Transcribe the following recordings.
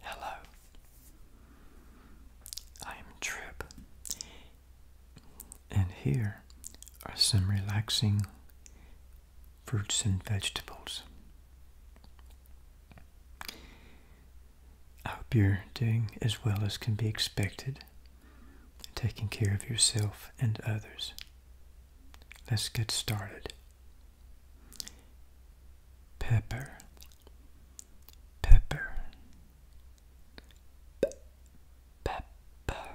Hello, I am Trip, and here are some relaxing fruits and vegetables. I hope you're doing as well as can be expected, taking care of yourself and others. Let's get started pepper, pepper, pepper,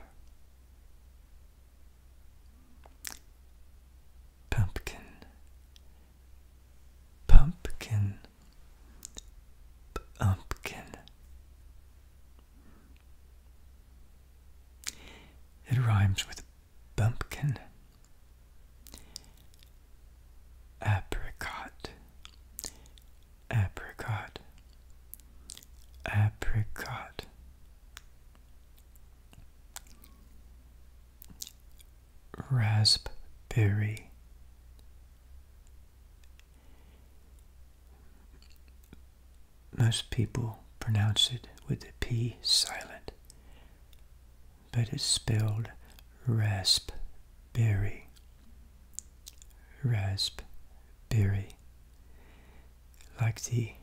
pumpkin, pumpkin, pumpkin. It rhymes with bumpkin, apricot, apricot, apricot. Raspberry, most people pronounce it with the P silent, but it's spelled raspberry. Raspberry. Like the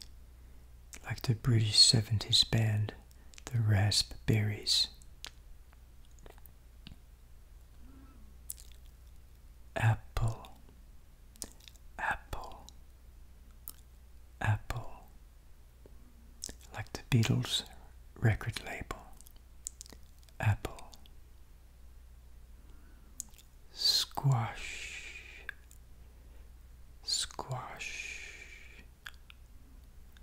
like the British 70s band, the Raspberries apple apple apple like the Beatles record label apple squash squash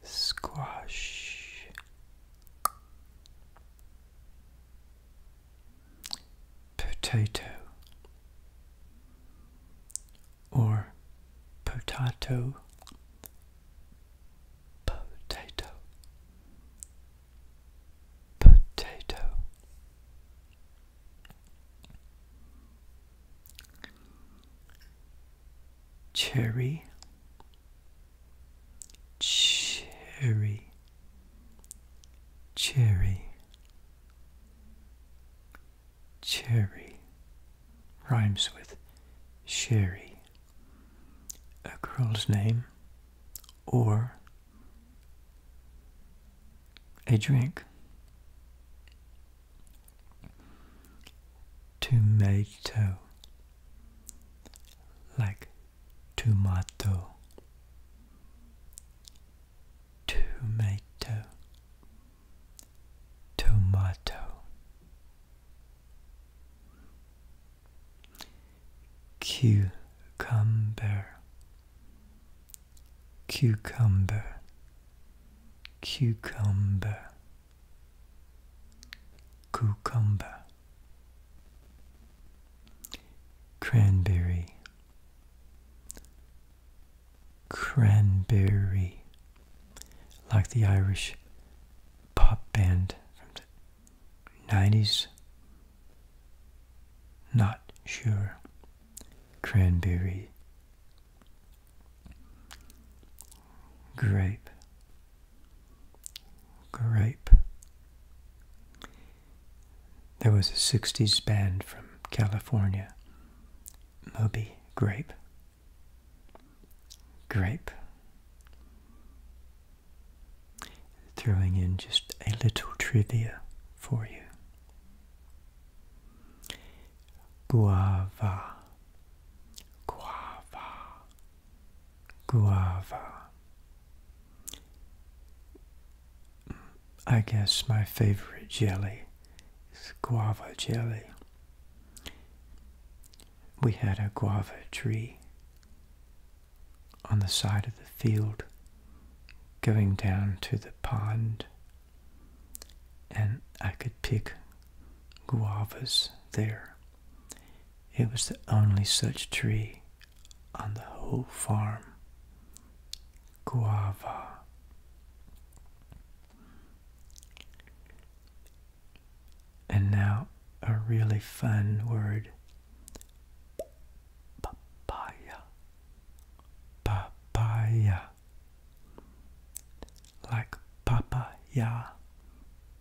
squash potato or potato potato potato cherry cherry, cherry, cherry rhymes with sherry. A girl's name or a drink. Tomato, like tomato tomato tomato cucumber cucumber cucumber cucumber, cranberry, cranberry, like the Irish pop band from the 90s. Not sure. Cranberry grape, grape. There was a 60s band from California, Moby Grape, grape. Throwing in just a little trivia for you guava, guava, guava. I guess my favorite jelly is guava jelly. We had a guava tree on the side of the field going down to the pond and I could pick guavas there. It was the only such tree on the whole farm. Guava. And now a really fun word. Papaya papaya like papaya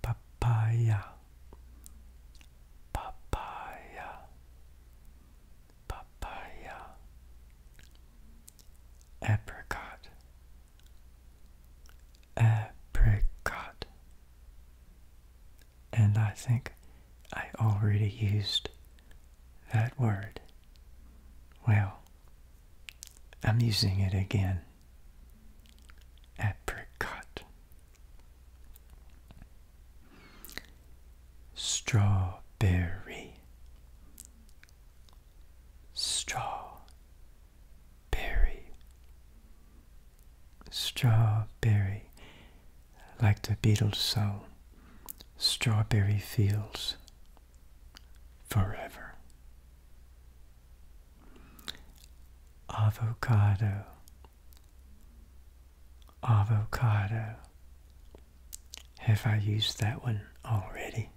papaya papaya papaya apricot apricot and I think I already used that word. Well, I'm using it again. Apricot. Strawberry. Strawberry. Strawberry like the Beatles song, Strawberry Fields Forever. Avocado, avocado. Have I used that one already?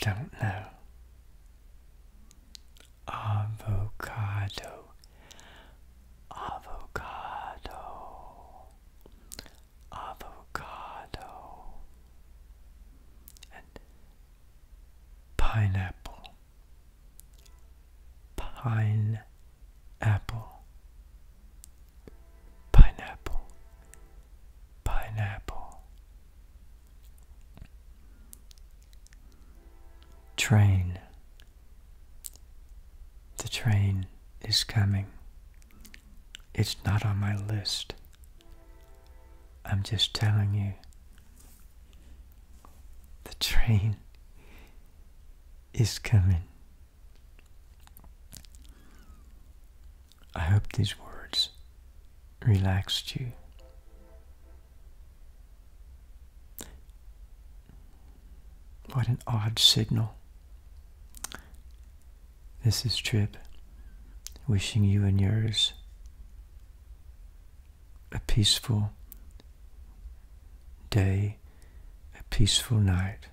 Don't know. Avocado avocado, avocado, and pineapple, pineapple, pineapple, pineapple. Train. The train is coming. It's not on my list. I'm just telling you. The train is coming. I hope these words relaxed you. What an odd signal. This is Trip, wishing you and yours a peaceful day, a peaceful night.